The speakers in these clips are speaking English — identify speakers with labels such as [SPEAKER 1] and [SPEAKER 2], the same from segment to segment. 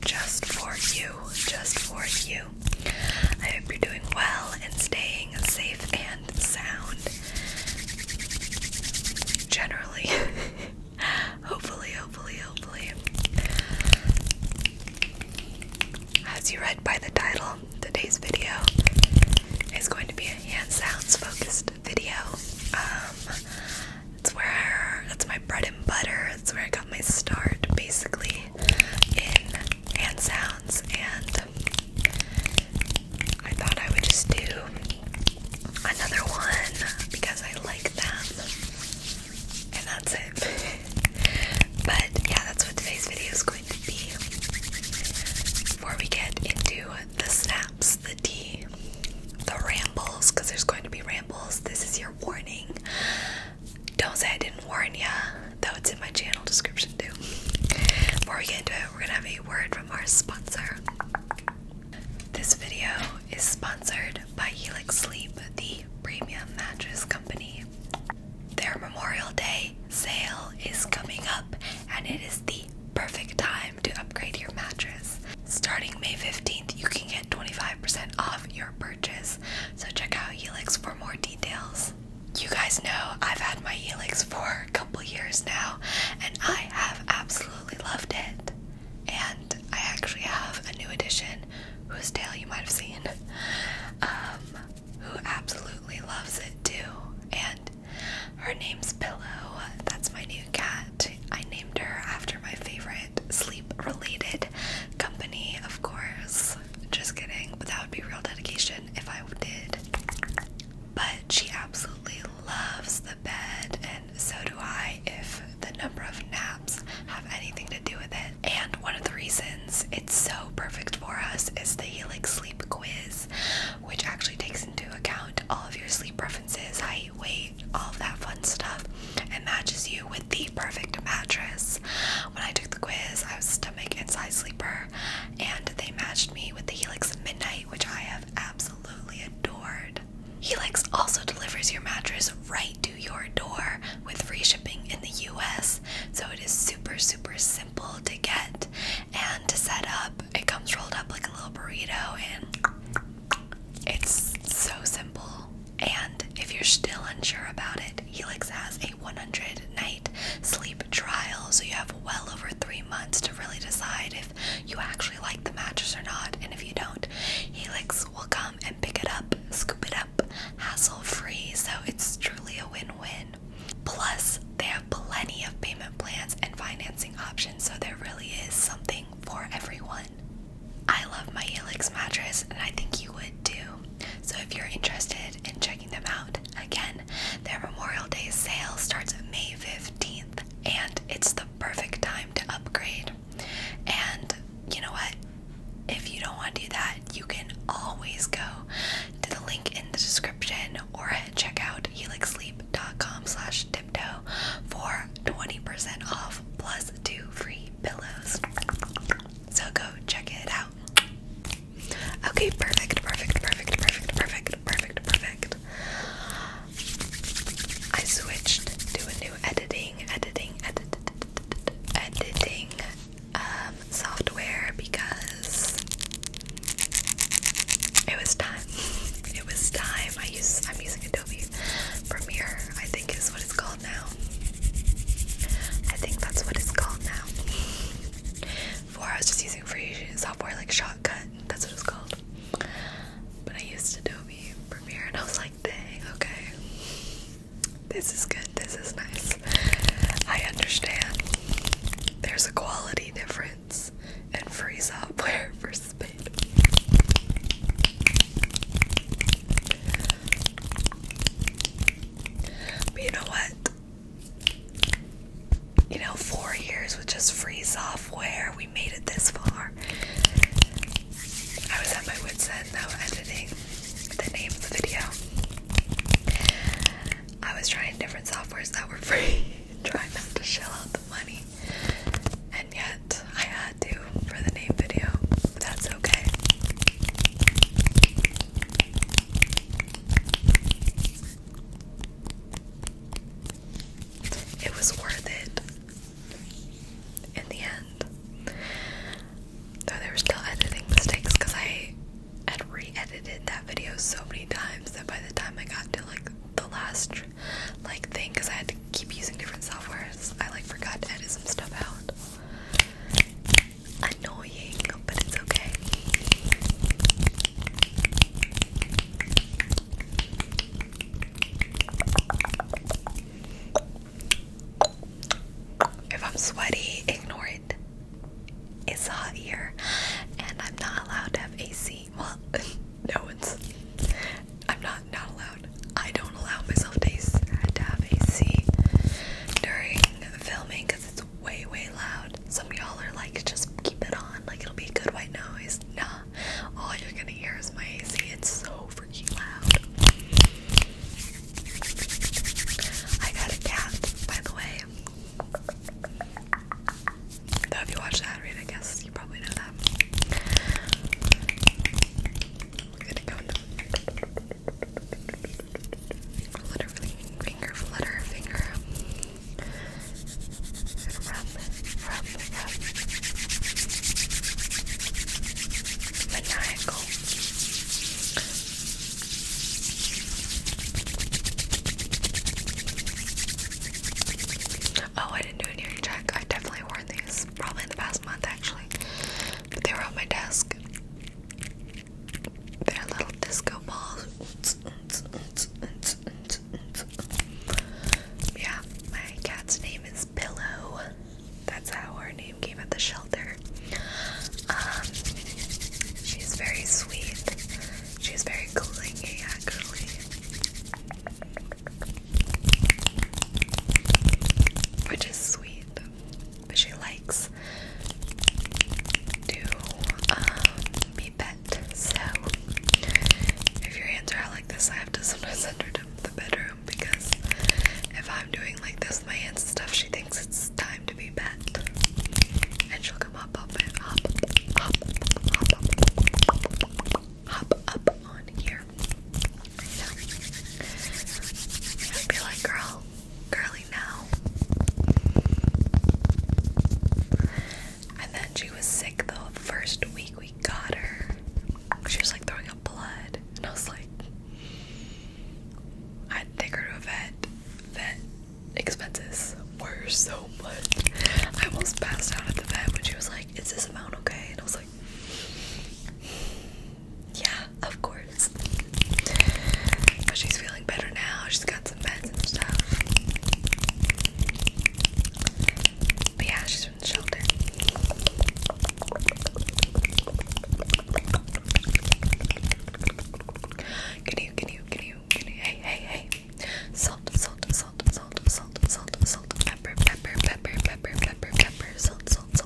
[SPEAKER 1] just for you, just for you. I hope you're doing well and staying safe and sound. Generally. hopefully, hopefully, hopefully. As you read by the title, today's video is going to be a hand sounds focused video. Um, it's where that's my bread and butter. That's where I got my start basically in hand sounds, and I thought I would just do another one because I like them, and that's it. but yeah, that's what today's video is going to be. Before we get into the snaps, the D, the rambles, because there's going to be rambles, this is your warning. Don't say I didn't warn ya, though it's in my channel description too. Before we get into it, we're gonna have a word from our sponsor. This video is sponsored by Helix Sleep, the premium mattress company. Their Memorial Day sale is coming up, and it is the perfect time to upgrade your mattress. Starting May 15th, you can get 25% off your purchase so check out Helix for more details. You guys know I've had my Helix for a couple years now and I have absolutely loved it. And I actually have a new addition whose tail you might have seen um, who absolutely loves it too. And her name's Pillow. That's my new cat. I named her after my favorite sleep related company, of course. Just kidding, but that would be real dedication if I did. But she absolutely loves the bed, and so do I if the number of naps have anything to do with it. And one of the reasons it's so perfect for us is the Helix Sleep Quiz, which actually takes into account all of your sleep preferences, height, weight, all that fun stuff, and matches you with the perfect mattress. When I took the quiz, I was a stomach and side sleeper, and they matched me with the Helix Midnight, which I have absolutely adored. Helix also delivers your mattress right to your door with free shipping in the US, so it is super, super simple to get and to set up. It comes rolled up like a little burrito, and it's so simple. And if you're still unsure about it, Helix has a 100 night sleep trial, so you have well over three months to really decide if you actually like the mattress or not. And if you don't, Helix will come and pick it up, scoop it up, hassle free. So it's truly a win win. Plus, they have plenty of payment plans and financing options, so there really is something for everyone. I love my Helix mattress, and I think you would too. So if you're interested in checking them out, again, their Memorial Day sale starts May 15th, and it's the perfect time to upgrade. And you know what? If you don't want to do that, you can always go to the link in the description or check out helixsleep.com slash tiptoe for 20% off plus two free pillows. So go check it out. Okay, perfect, perfect, perfect, perfect, perfect, perfect, perfect. I switched to a new editing, editing, edit, editing um, software because it was time. It was time. I use. I'm using Adobe Premiere. I think is what it's called now. I think that's what it's called now. Before I was just using free software like Shotcut, that's what it's called. But I used Adobe Premiere and I was like, dang, okay. This is good, this is nice. I understand. There's a quality difference in free software versus paid you know what? You know, four years with just free software, we made it this far. I was at my wits' end though, editing the name of the video. I was trying different softwares that were free, trying not to shell out the money, and yet I had to for the name video. That's okay. It was worth it in the end. Though there were still editing mistakes because I had re edited that video so many times that by the time I got to like the last like thing because I had to keep using different softwares, I like forgot to edit some stuff out annoying, but it's okay. If I'm sweaty, ignore it. It's hot here, and I'm not allowed to have AC. Well, no one's. I'm not not allowed. I don't allow myself to, have AC during filming because it's way, way loud. Some y'all are like, just keep it on, like it'll be good white noise. Nah, all you're gonna hear is my AC. It's so freaking loud. I got a cat, by the way. Though if you watch that I guess you probably know that. Flutter, finger, flutter, finger. Maniacal. Oh, I didn't do an ear check. I definitely worn these probably in the past month, actually they were on my desk. They're little disco balls. Yeah, my cat's name is Pillow. That's how her name came at the shelter. Um, she's very sweet. She's very clingy, actually. Which is sweet but she likes to um, be pet. So if your hands are out like this, I have to sometimes send her to the bedroom because if I'm doing like this with my hands and stuff, she thinks it's time to be pet, and she'll come up, up, and up, up, up, up, hop up on here. You know? I'd be like, girl, curly now. And then she was sick The first week we got her, she was like throwing up blood. And I was like, I had take her to a vet. Vet expenses were so much. I almost passed out at the vet when she was like, Is this amount okay? And I was like, yeah, of course. But she's feeling better now. She's got some meds and stuff. yeah, she's from the shelter. Can you, can you, can you, can you? Hey, hey, hey. Salt, salt, salt, salt, salt, salt, salt, pepper, pepper, pepper, pepper, pepper, pepper, salt, salt, salt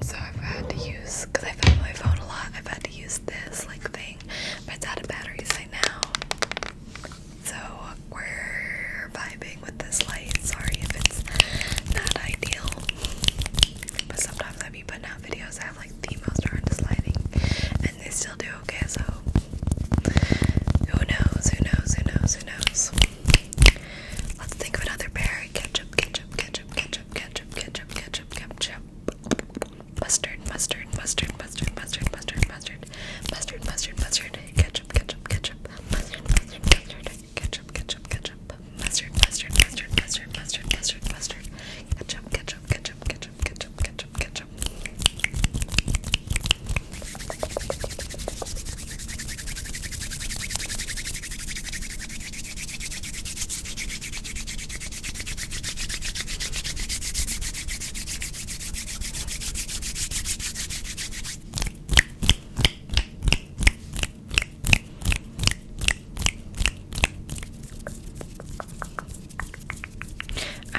[SPEAKER 1] so I've had to use because I found my phone a lot. I've had to use this like thing, but it's out of batteries right now. So we're vibing with this light. Sorry if it's not ideal, but sometimes I be putting out videos I have like the most horrendous lighting, and they still do okay. So who knows? Who knows? Who knows? Who knows? Let's think of another pair. Ketchup, ketchup, ketchup, ketchup ketchup, ketchup, ketchup, ketchup, mustard, mustard, mustard, mustard, mustard, mustard, mustard, mustard, mustard, mustard, mustard, ketchup, ketchup, ketchup, mustard, mustard, mustard, mustard, mustard, mustard, mustard, ketchup, ketchup, ketchup, ketchup, ketchup, ketchup, ketchup. I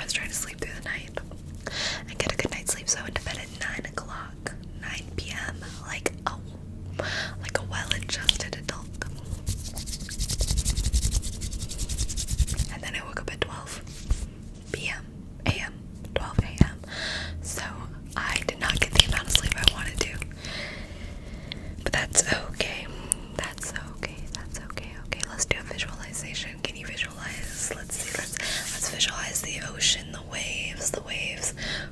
[SPEAKER 1] was trying to sleep through the night. I get a good night's sleep, so I went to bed at 9 o'clock. 9 p.m. Like a like a well-adjusted adult. And then I woke up at 12 p.m. a.m. 12 a.m. So I did not get the amount of sleep I wanted to. But that's okay. That's okay. That's okay. Okay, let's do a visualization. Can you visualize? Let's see. Let's let's visualize the ocean, the waves, the waves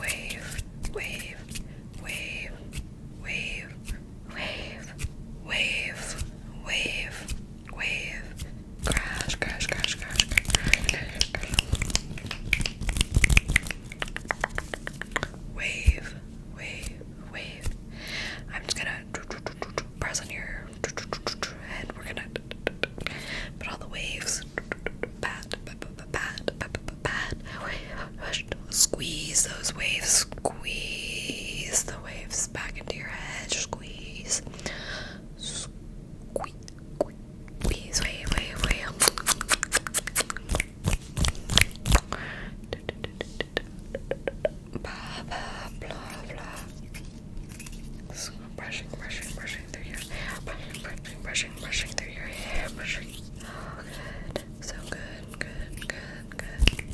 [SPEAKER 1] wave, wave, wave, wave, wave, wave, wave, wave, crash, crash, crash, crash, crash, crash. Wave, wave, wave. I'm just gonna press on your head. We're gonna but all the waves, pat, pat, pat, pat, squeeze those waves, squeeze the waves back into your head, squeeze, squeeze, squeeze, wave, wave, wave. Blah, blah, blah, blah. Squeeze, brushing, brushing, brushing through your brushing, brushing, brushing, brushing through your hair, brushing. Oh, good. So good, good, good, good. Good,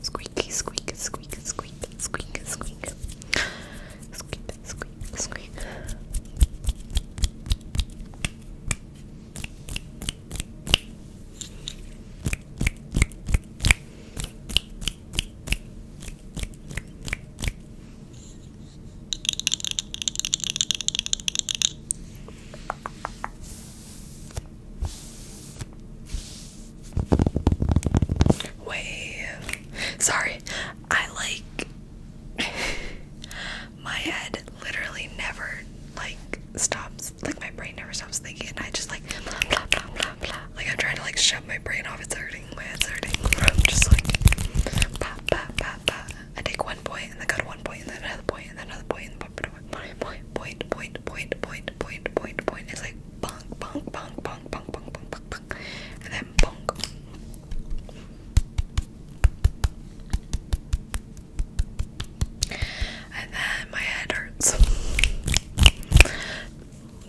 [SPEAKER 1] Squeaky, squeak, squeak, squeak, squeak, squeak, squeak, squeak, squeak. Wait, sorry, I like my head literally never like stops, like my brain never stops thinking, and I just like like I'm trying to like shut my brain off, it's hurting, my head's hurting, I'm just like that, that. I take one point and then got one point and then another point and then another point and point, point, point, point, point, point, point, point, point. It's like bonk, bonk, bonk, bonk, bonk, bonk, bonk, bonk, bonk, and then bonk. And then my head hurts.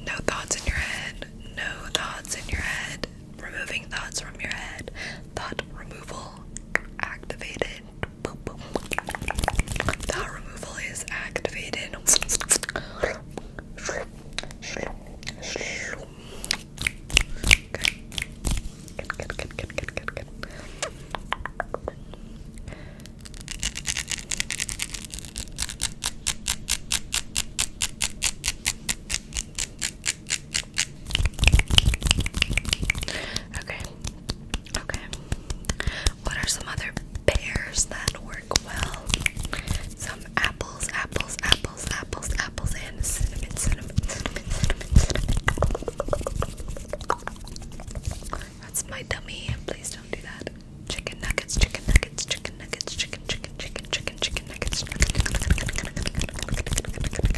[SPEAKER 1] No thoughts in your head. No thoughts in your head removing thoughts from your head. Thought removal activated. Thought removal is activated. Okay. Okay. What are some other pears that work well? Some apples, apples, apples, apples, apples, and cinnamon, cinnamon, cinnamon, cinnamon, cinnamon. That's my dummy. Please don't do that. Chicken nuggets, chicken nuggets, chicken nuggets, chicken, chicken, chicken, chicken, chicken nuggets.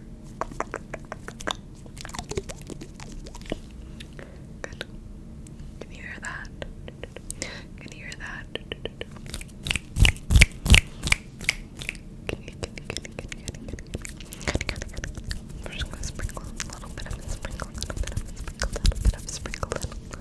[SPEAKER 1] Good. Can you hear that? Can you hear that? I'm just gonna sprinkle a little bit of sprinkle, a little bit of sprinkle, a little bit of sprinkle, a little bit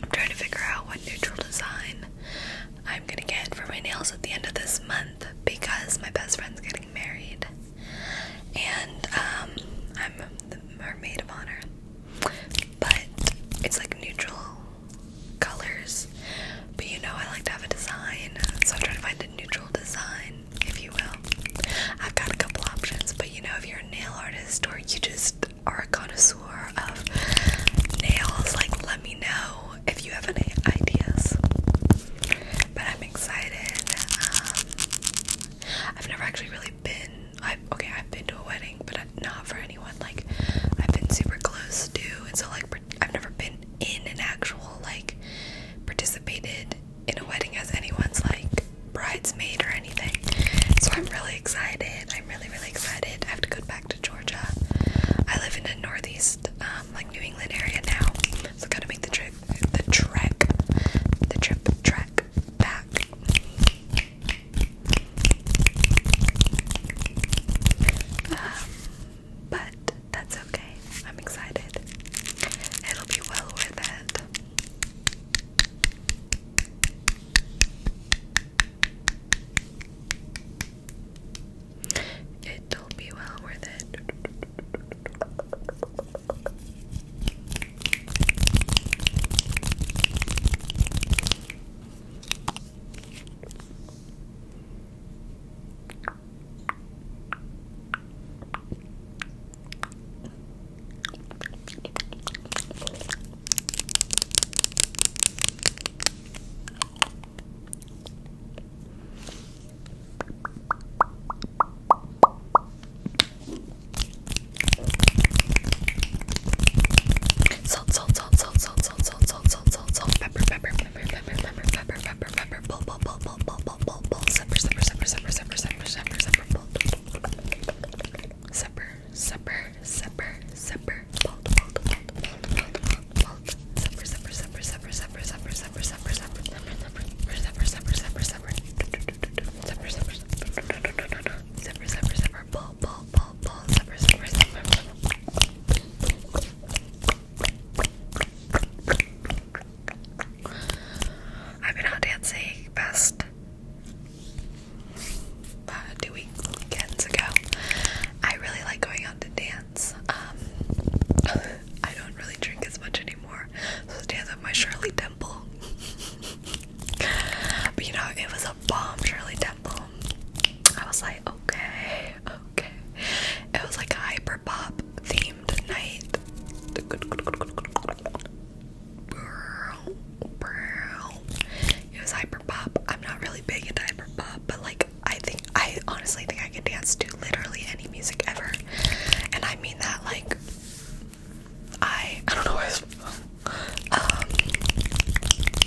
[SPEAKER 1] I'm trying to figure out what neutral design I'm gonna get for my nails at the end of this month because my best friend's getting married and um, I'm the, her maid of honor. But it's like neutral colors, but you know I like to have a design, so I'm trying to find a neutral design if you will. I've got a couple options, but you know, if you're a nail artist or you just are a connoisseur of nails, like let me know if you have any ideas. But I'm excited. Um, I've never actually really been. I have okay, I've been to a wedding, but not for anyone. Like I've been super close to, and so like I've never been in an actual like participated in a wedding as anyone's like bridesmaid or anything. So I'm really excited. I'm really, really excited. I have to go back to Georgia. I live in the northeast, um, like New England area now. So I gotta make the trip the trek. The trip trek back. Um, but that's okay. I'm excited. It'll be well worth it. It'll be well worth it. Salt, salt, salt, salt, salt, salt, salt, salt, salt, salt, pepper, pepper, pepper, pepper, pepper, pepper, pepper, pepper, zipper pull pull pull pull pull pull pull pull zipper zipper zipper zipper zipper zipper zipper zipper pull zipper zipper zipper zipper pull pull pull zipper zipper zipper zipper zipper zipper zipper zipper zipper zipper zipper zipper zipper zipper zipper zipper zipper zipper zipper pull pull pull pull zipper zipper zipper I've been out dancing best two weekends ago. I really like going out to dance. Um, I don't really drink as much anymore, so I dance with my Shirley Temple. but you know, it was a bomb Shirley Temple. I was like, okay, okay. It was like a hyper pop theme game tonight. It was hyper pop. I'm not really big into hyper pop, but like I think I honestly think I can dance to literally any music ever. And I mean that like I I don't know um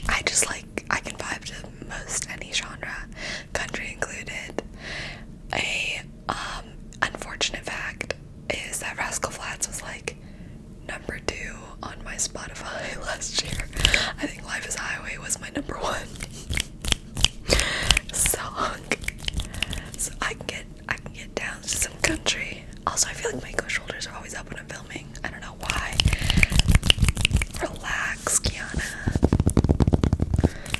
[SPEAKER 1] I just like I can vibe to most any genre, country included. I. Um, unfortunate fact is that Rascal Flats was like number two on my Spotify last year. I think Life is Highway was my number one song. So I can get I can get down to some country. Also I feel like my shoulders are always up when I'm filming. I don't know why. Relax, Kiana.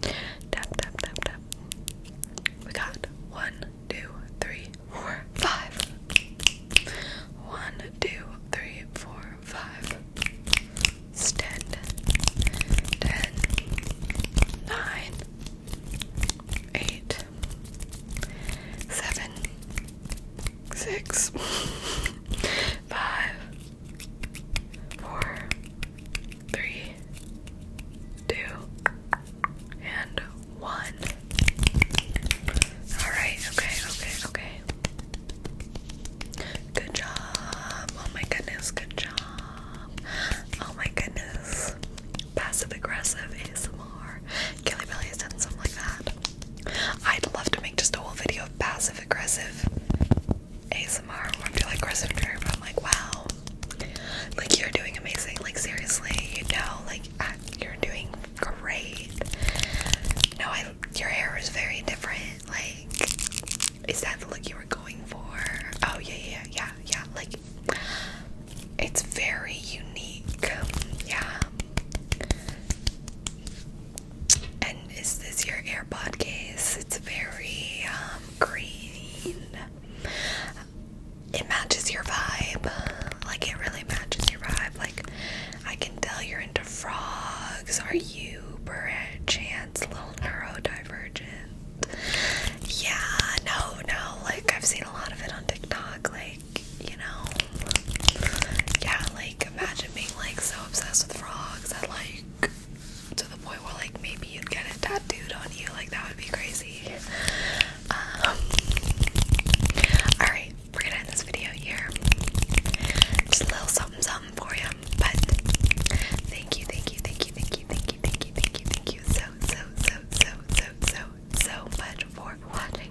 [SPEAKER 1] Tap, tap, tap, tap. We got one, two, three, four, five. One, two, three, four, five. Stand six, five, four, three, two, and one. All right, okay, okay, okay. Good job. Oh my goodness, good job. Oh my goodness. Passive aggressive ASMR. Kelly Belly has done something like that. I'd love to make just a whole video of passive aggressive ASMR where I like aggressive trigger, I'm like, wow, like you're doing amazing. Like seriously, you know, like uh, you're doing great. No, I your hair is very different. Like, is that the look you were going for? Oh yeah, yeah, yeah, yeah. Like, it's very unique. Yeah. And is this your AirPod case? It's very um, green. It matches your vibe. Like, it really matches your vibe. Like, I can tell you're into frogs. Are you, perchance, a little neurodivergent? Yeah, no, no. Like, I've seen a lot of it on TikTok. Like, you know, yeah, like imagine being like so obsessed with frogs that like to the point where like maybe you'd get it tattooed on you, like that would be crazy. Um, alright, we're gonna end this video here. Just a little something something for you. But thank you, thank you, thank you, thank you, thank you, thank you, thank you, thank you so so so so so so much for watching